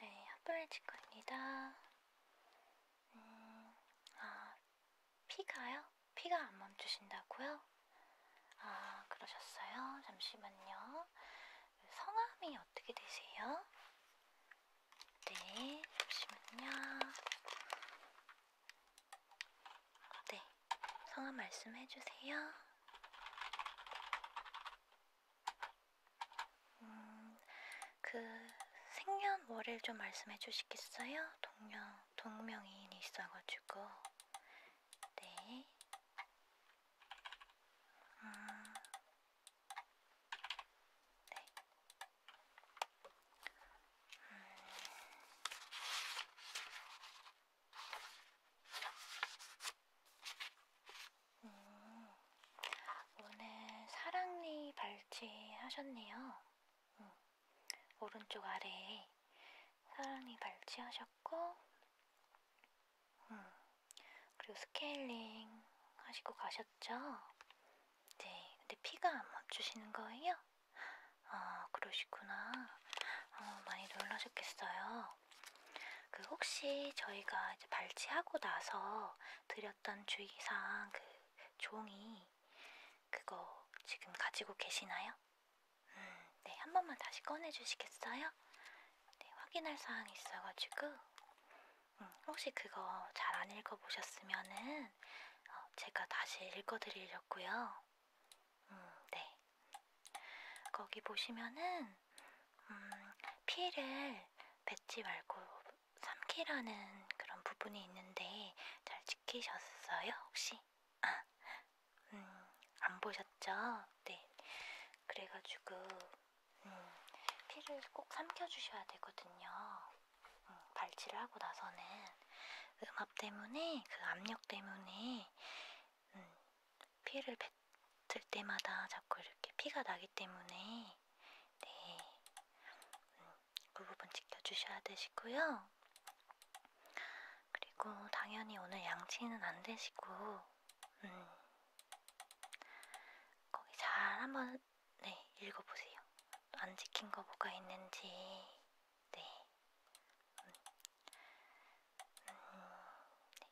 네, 핫플레 치과입니다. 음, 아, 피가요? 피가 안 멈추신다고요? 아, 그러셨어요? 잠시만요. 성함이 어떻게 되세요? 네, 잠시만요. 네, 성함 말씀해주세요. 음, 그, 생년월일 좀 말씀해 주시겠어요? 동년 동명이인이 있어가지고 네 음. 네. 음. 음. 오늘 사랑니 발찌 하셨네요. 음. 오른쪽 아래에 사랑니 발치하셨고, 음, 그리고 스케일링 하시고 가셨죠? 네, 근데 피가 안 멈추시는 거예요? 아, 그러시구나. 어, 많이 놀라셨겠어요. 그 혹시 저희가 이제 발치하고 나서 드렸던 주의사항 그 종이 그거 지금 가지고 계시나요? 음, 네, 한 번만 다시 꺼내주시겠어요? 네, 확인할 사항이 있어가지고. 음, 혹시 그거 잘 안 읽어보셨으면은 어, 제가 다시 읽어드리려고요. 음, 네. 거기 보시면은 음, 피를 뱉지 말고 삼키라는 그런 부분이 있는데 잘 시키셨어요, 혹시? 아, 음, 안 보셨죠? 네. 그래가지고, 음, 피를 꼭 삼켜주셔야 되거든요. 음, 발치를 하고 나서는 음압 때문에, 그 압력 때문에, 음, 피를 뱉을 때마다 자꾸 이렇게 피가 나기 때문에, 네. 음, 그 부분 지켜주셔야 되시고요. 그리고 당연히 오늘 양치는 안 되시고, 음, 거기 잘 한번 네 읽어보세요. 안 지킨 거 뭐가 있는지, 네. 음. 음, 네.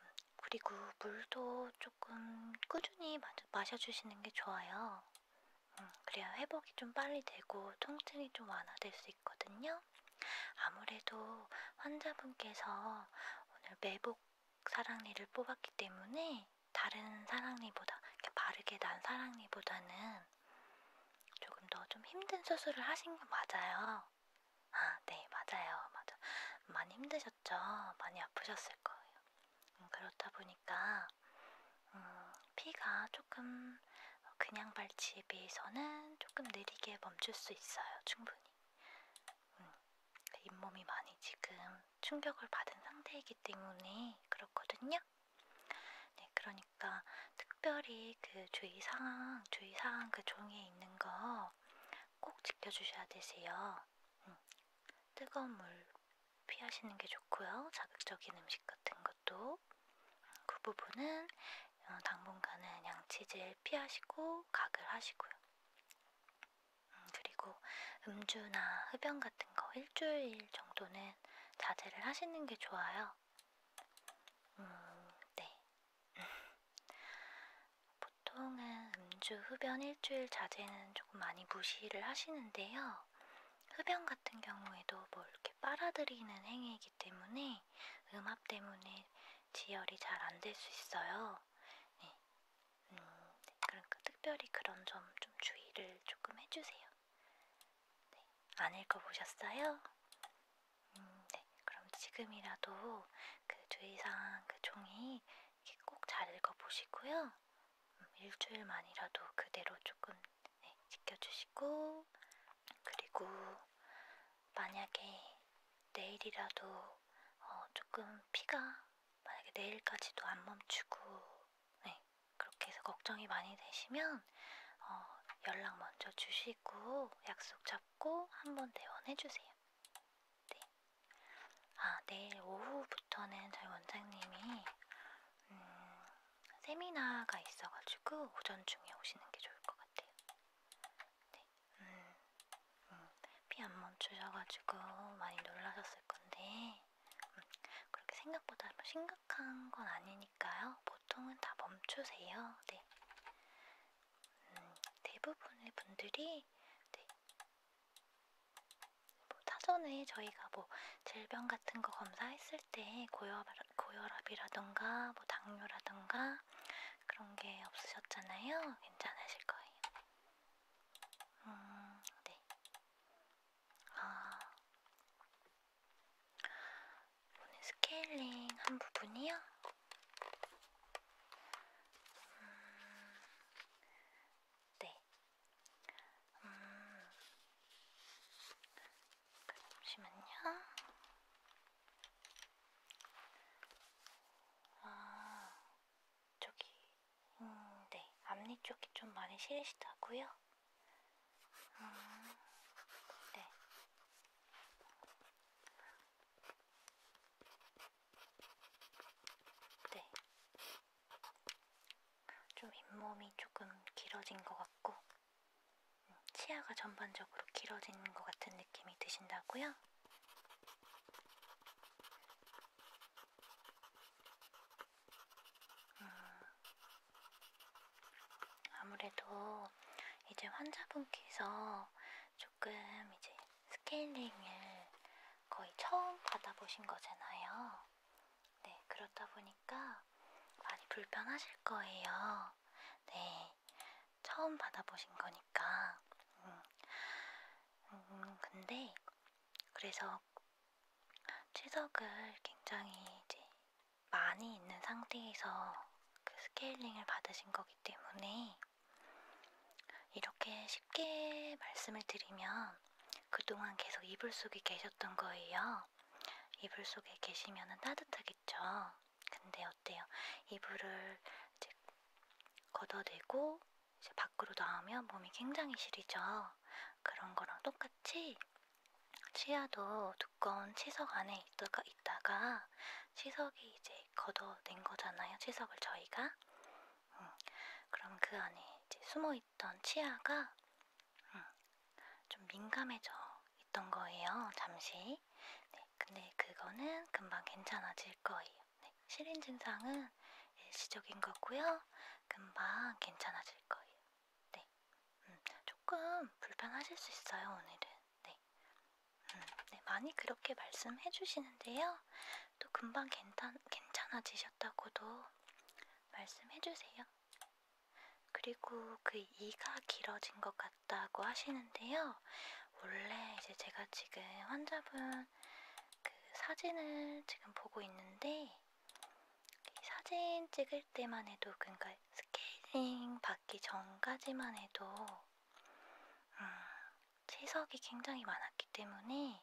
음, 그리고 물도 조금 꾸준히 마, 마셔주시는 게 좋아요. 음, 그래야 회복이 좀 빨리 되고 통증이 좀 완화될 수 있거든요. 아무래도 환자분께서 오늘 매복 사랑니를 뽑았기 때문에 다른 사랑니보다 이렇게 바르게 난 사랑니보다는 조금 더 좀 힘든 수술을 하신 거 맞아요. 아, 네, 맞아요. 맞아. 많이 힘드셨죠? 많이 아프셨을 거예요. 어, 그렇다 보니까 음, 피가 조금 그냥 발치에 비해서는 조금 느리게 멈출 수 있어요. 충분히. 음, 잇몸이 많이 지금 충격을 받은 상태이기 때문에 그렇거든요. 네, 그러니까 특별히 그 주의사항, 주의사항 그 종이에 있는 거 꼭 지켜주셔야 되세요. 음, 뜨거운 물 피하시는 게 좋고요. 자극적인 음식 같은 것도 그 부분은 어, 당분간은 양치질 피하시고 각을 하시고요. 음, 그리고 음주나 흡연 같은 거 일주일 정도는 자제를 하시는 게 좋아요. 음, 네. 보통은 음주, 흡연 일주일 자제는 조금 많이 무시를 하시는데요. 흡연 같은 경우에도 뭐 이렇게 빨아들이는 행위이기 때문에 음압 때문에 지혈이 잘 안 될 수 있어요. 네. 음, 그러니까 특별히 그런 점좀 좀 주의를 조금 해주세요. 네. 안 읽어보셨어요? 음, 네. 그럼 지금이라도 그 주의사항 그 종이 꼭 잘 읽어보시고요. 일주일만이라도 그대로 조금 네, 지켜주시고 그리고 만약에 내일이라도 어, 조금 피가 만약에 내일까지도 안 멈추고 네, 그렇게 해서 걱정이 많이 되시면 어, 연락 먼저 주시고 약속 잡고 한번 대원해주세요. 네. 아, 내일 오후부터는 저희 원장님이 음, 세미나가 있어가지고 오전 중에 오시는 게 좋을 것 같아요. 네, 음, 음, 피안 멈추셔가지고 많이 놀라셨을 건데 음, 그렇게 생각보다 뭐 심각한 건 아니니까요. 보통은 다 멈추세요. 네, 음, 대부분의 분들이 네, 뭐 사전에 저희가 뭐 질병 같은 거 검사했을 때 고혈압, 고혈압이라던가 뭐 당뇨라던가 그런 게 없으셨잖아요. 괜찮으실 거예요. 음, 네. 아, 오늘 스케일링 한 부분이요? 음, 네. 음. 잠시만요. 아, 저기, 음, 네, 앞니 쪽이 좀 많이 시리시다고요? 음, 네. 네. 좀 잇몸이 조금 길어진 것 같고 음, 치아가 전반적으로 길어진 것 같은 느낌이 드신다고요? 음, 아무래도 이제 환자분께서 조금 이제 스케일링을 거의 처음 받아보신 거잖아요. 네, 그렇다 보니까 많이 불편하실 거예요. 네, 처음 받아보신 거니까. 음, 음, 음 근데 그래서 치석을 굉장히 이제 많이 있는 상태에서 그 스케일링을 받으신 거기 때문에 이렇게 쉽게 말씀을 드리면 그동안 계속 이불 속에 계셨던 거예요. 이불 속에 계시면 따뜻하겠죠. 근데 어때요? 이불을 이제 걷어내고 이제 밖으로 나오면 몸이 굉장히 시리죠. 그런 거랑 똑같이 치아도 두꺼운 치석 안에 있다가, 있다가 치석이 이제 걷어낸 거잖아요. 치석을 저희가. 음, 그럼 그 안에 이제 숨어 있, 있던 치아가 음, 좀 민감해져 있던 거예요. 잠시. 네, 근데 그거는 금방 괜찮아질 거예요. 네, 시린 증상은 일시적인 거고요. 금방 괜찮아질 거예요. 네, 음, 조금 불편하실 수 있어요. 오늘은. 네, 음, 네 많이 그렇게 말씀해 주시는데요. 또 금방 괜찮, 괜찮아지셨다고도 말씀해 주세요. 그리고 그 이가 길어진 것 같다고 하시는데요. 원래 이제 제가 지금 환자분 그 사진을 지금 보고 있는데 사진 찍을 때만 해도 그러니까 스케일링 받기 전까지만 해도 음, 채석이 굉장히 많았기 때문에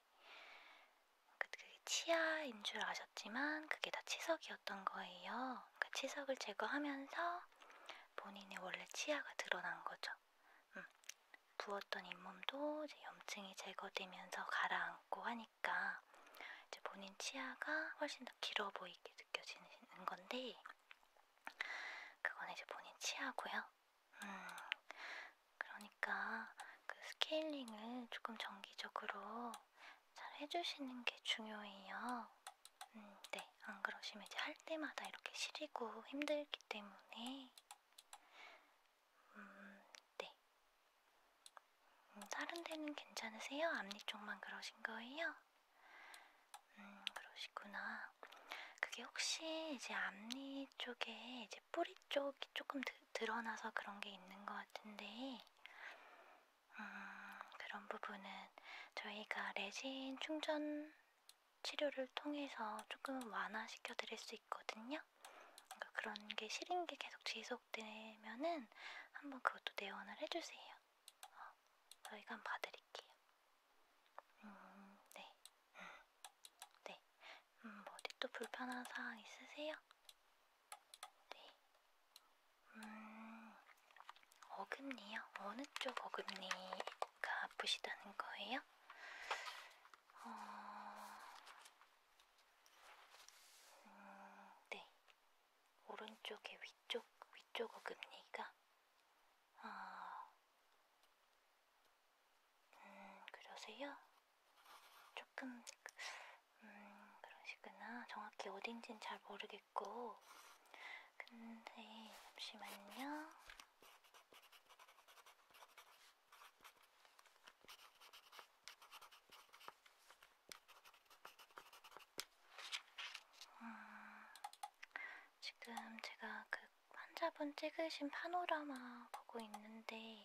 그러니까 그게 치아인 줄 아셨지만 그게 다 치석이었던 거예요. 그러니까 치석을 제거하면서 본인의 원래 치아가 드러난 거죠. 음, 부었던 잇몸도 이제 염증이 제거되면서 가라앉고 하니까 이제 본인 치아가 훨씬 더 길어 보이게 느껴지는 건데 그건 이제 본인 치아고요. 음, 그러니까 그 스케일링을 조금 정기적으로 잘 해주시는 게 중요해요. 음, 네. 안 그러시면 이제 할 때마다 이렇게 시리고 힘들기 때문에. 음, 네. 음, 다른 데는 괜찮으세요? 앞니 쪽만 그러신 거예요? 음, 그러시구나. 그게 혹시 이제 앞니 쪽에 이제 뿌리 쪽이 조금 드, 드러나서 그런 게 있는 것 같은데, 음, 그런 부분은 저희가 레진 충전 치료를 통해서 조금 완화시켜 드릴 수 있거든요. 그러니까 그런 게 싫은 게 계속 지속되면은 한번 그것도 내원을 해주세요. 어, 저희가 한번 봐드릴게요. 음, 네. 음, 네. 음, 어디 또 불편한 사항 있으세요? 네. 음, 어금니요? 어느 쪽 어금니가 아프시다는 거예요? 어... 음, 네. 오른쪽의 위쪽, 위쪽 어금니가, 어, 음, 그러세요? 조금, 음, 그러시구나. 정확히 어딘진 잘 모르겠고. 근데, 잠시만요. 음, 지금 제가 그 환자분 찍으신 파노라마 보고 있는데,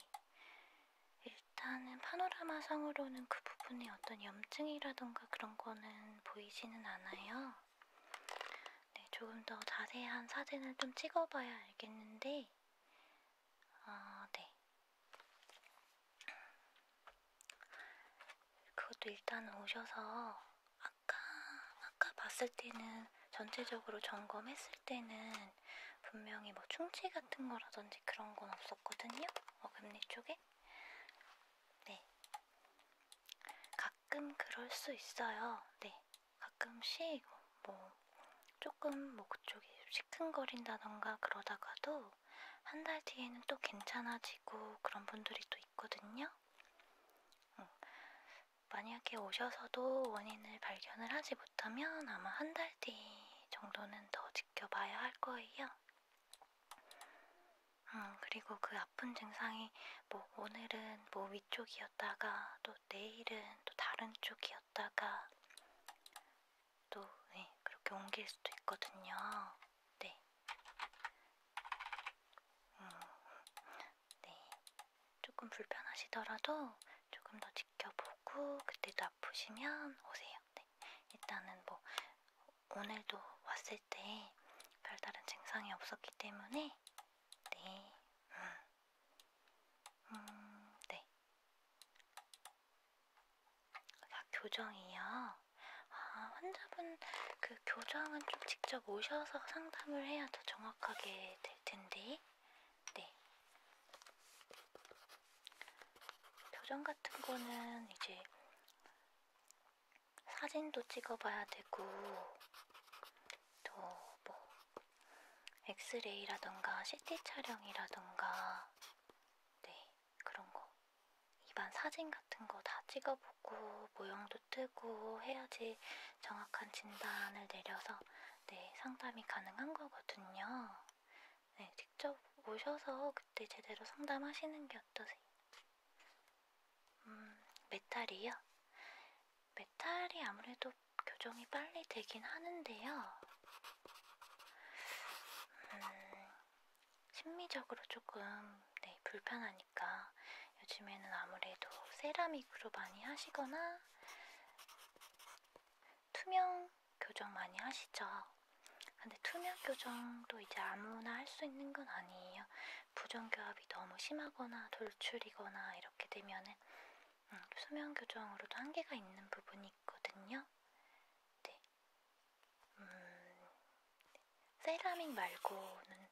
일단은 파노라마상으로는 그 부분에 어떤 염증이라던가 그런 거는 보이지는 않아요. 네, 조금 더 자세한 사진을 좀 찍어봐야 알겠는데, 아, 네. 그것도 일단 오셔서 아까, 아까 봤을 때는 전체적으로 점검했을 때는 때는 분명히 뭐 충치 같은 거라든지 그런 건 없었거든요. 어금니 쪽에. 네. 가끔 그럴 수 있어요. 네. 가끔씩 뭐 조금 목 뭐 쪽이 시큰거린다던가 그러다가도 한 달 뒤에는 또 괜찮아지고 그런 분들이 또 있거든요. 응. 음. 만약에 오셔서도 원인을 발견을 하지 못하면 아마 한 달 뒤 정도는 더 지켜봐야 할 거예요. 음, 그리고 그 아픈 증상이 뭐 오늘은 뭐 위쪽이었다가 또 내일은 또 다른 쪽이었다가 또 네, 그렇게 옮길 수도 있거든요. 네. 음, 네. 조금 불편하시더라도 조금 더 지켜보고 그때도 아프시면 오세요. 네. 일단은 뭐 오늘도 왔을 때 별다른 증상이 없었기 때문에 네. 음. 음, 네. 아, 교정이요? 아, 환자분 그 교정은 좀 직접 오셔서 상담을 해야 더 정확하게 될 텐데. 네. 표정 같은 거는 이제 사진도 찍어봐야 되고, 또 뭐, 엑스레이라던가 CT 촬영이라던가, 네, 그런 거. 일반 사진 같은 거 다 찍어보고, 모형도 뜨고 해야지 정확한 진단을 내려서 네, 상담이 가능한 거거든요. 네, 직접 오셔서 그때 제대로 상담하시는 게 어떠세요? 음, 메탈이요? 메탈이 아무래도 교정이 빨리 되긴 하는데요. 음, 심미적으로 조금 네, 불편하니까 요즘에는 아무래도 세라믹으로 많이 하시거나 투명 교정 많이 하시죠? 근데 투명 교정도 이제 아무나 할 수 있는 건 아니에요. 부정교합이 너무 심하거나 돌출이거나 이렇게 되면은 음, 수면 교정으로도 한계가 있는 부분이 있거든요. 네. 음, 네. 세라믹 말고는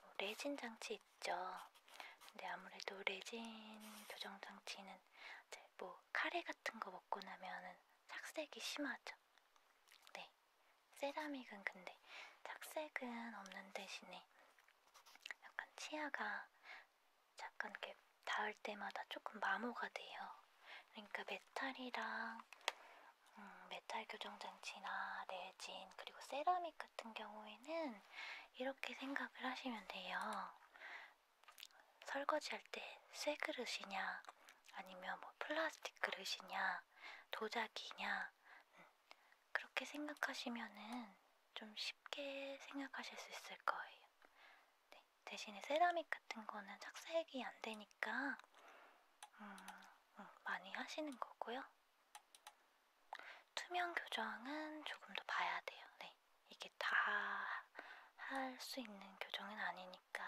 뭐 레진 장치 있죠. 근데 아무래도 레진 교정 장치는 때는 이제 뭐 카레 같은 거 먹고 나면은 착색이 심하죠. 네, 세라믹은 근데 착색은 없는 대신에 약간 치아가 잠깐 이렇게 닿을 때마다 조금 마모가 돼요. 그러니까 메탈이랑 음, 메탈 교정 장치나 레진 그리고 세라믹 같은 경우에는 이렇게 생각을 하시면 돼요. 설거지할 때 쇠 그릇이냐, 아니면 뭐 플라스틱 그릇이냐, 도자기냐, 음, 그렇게 생각하시면은 좀 쉽게 생각하실 수 있을 거예요. 네, 대신에 세라믹 같은 거는 착색이 안 되니까 음, 음, 많이 하시는 거고요. 투명 교정은 조금 더 봐야 돼요. 네, 이게 다 할 수 있는 교정은 아니니까.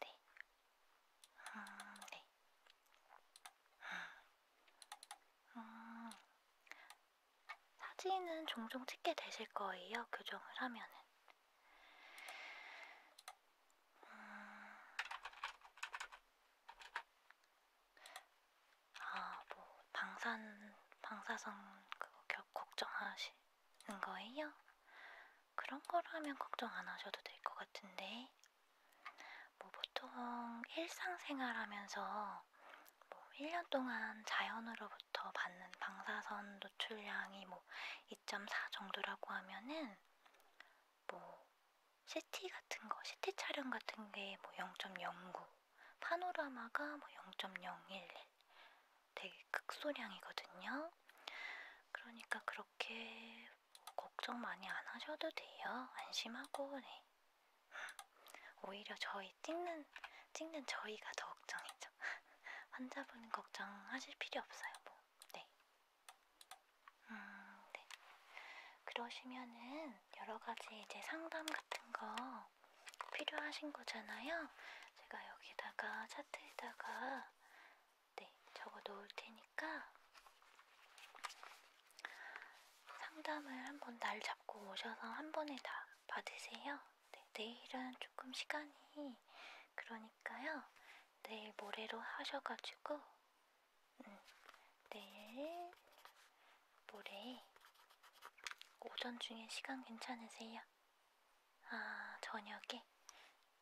네. 음, 네. 음, 음. 사진은 종종 찍게 되실 거예요, 교정을 하면은. 음, 아, 뭐 방산 방사성 그거 겨, 걱정하시는 거예요? 그런 거라면 걱정 안 하셔도 될 것 같은데. 뭐 보통 일상생활 하면서 뭐 1년 동안 자연으로부터 받는 방사선 노출량이 뭐 2.4 정도라고 하면은 뭐 CT 같은 거, CT 촬영 같은 게뭐0.09 파노라마가 뭐 0.011 되게 극소량이거든요. 그러니까 그렇게 뭐 걱정 많이 안 하셔도 돼요. 안심하고 네. 오히려 저희 찍는 찍는 저희가 더 걱정이죠. 환자분 걱정하실 필요 없어요. 뭐. 네. 음, 네. 그러시면은 여러 가지 이제 상담 같은 거 필요하신 거잖아요. 제가 여기다가 차트에다가 네, 적어 놓을 테니까 상담을 한번 날 잡고 오셔서 한 번에 다 받으세요. 네, 내일은 조금 시간이 그러니까요. 내일 모레로 하셔가지고 음, 내일 뭐래? 오전 중에 시간 괜찮으세요? 아, 저녁에?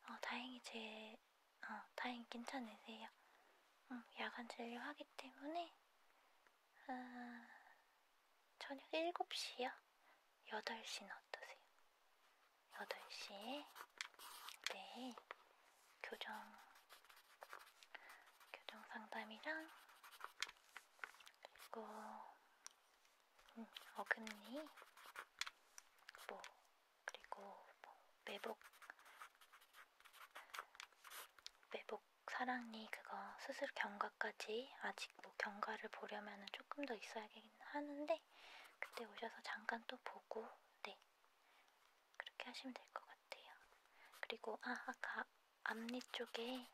어, 다행히 제, 어, 다행히 괜찮으세요. 응, 음, 야간 진료하기 때문에, 아, 저녁 7시요? 8시는 어떠세요? 8시에, 네, 교정 교정 상담이랑 그리고 음, 어금니 뭐 그리고 뭐 매복 매복 사랑니 그거 수술 경과까지 아직 뭐 경과를 보려면은 조금 더 있어야긴 하는데 그때 오셔서 잠깐 또 보고 네 그렇게 하시면 될 것 같아요. 그리고 아 아까 앞니 쪽에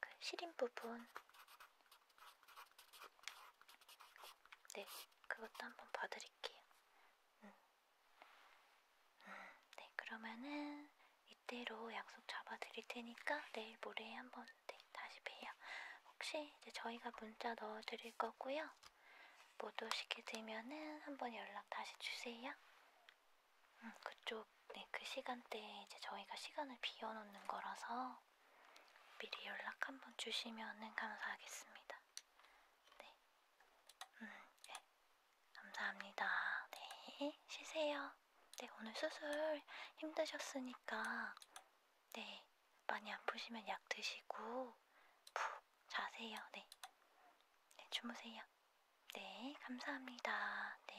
그 시린 부분, 네, 그것도 한번 봐드릴게요. 음. 음, 네, 그러면은 이대로 약속 잡아드릴 테니까 내일 모레 한번 네, 다시 봬요. 혹시 이제 저희가 문자 넣어드릴 거고요. 못 오시게 되면은 한번 연락 다시 주세요. 음, 그쪽 네, 그 시간대에 이제 저희가 시간을 비워놓는 거라서 미리 연락 한번 주시면 감사하겠습니다. 네, 음, 네. 감사합니다. 네, 쉬세요. 네, 오늘 수술 힘드셨으니까 네, 많이 아프시면 약 드시고 푹 자세요. 네, 네 주무세요. 네, 감사합니다. 네.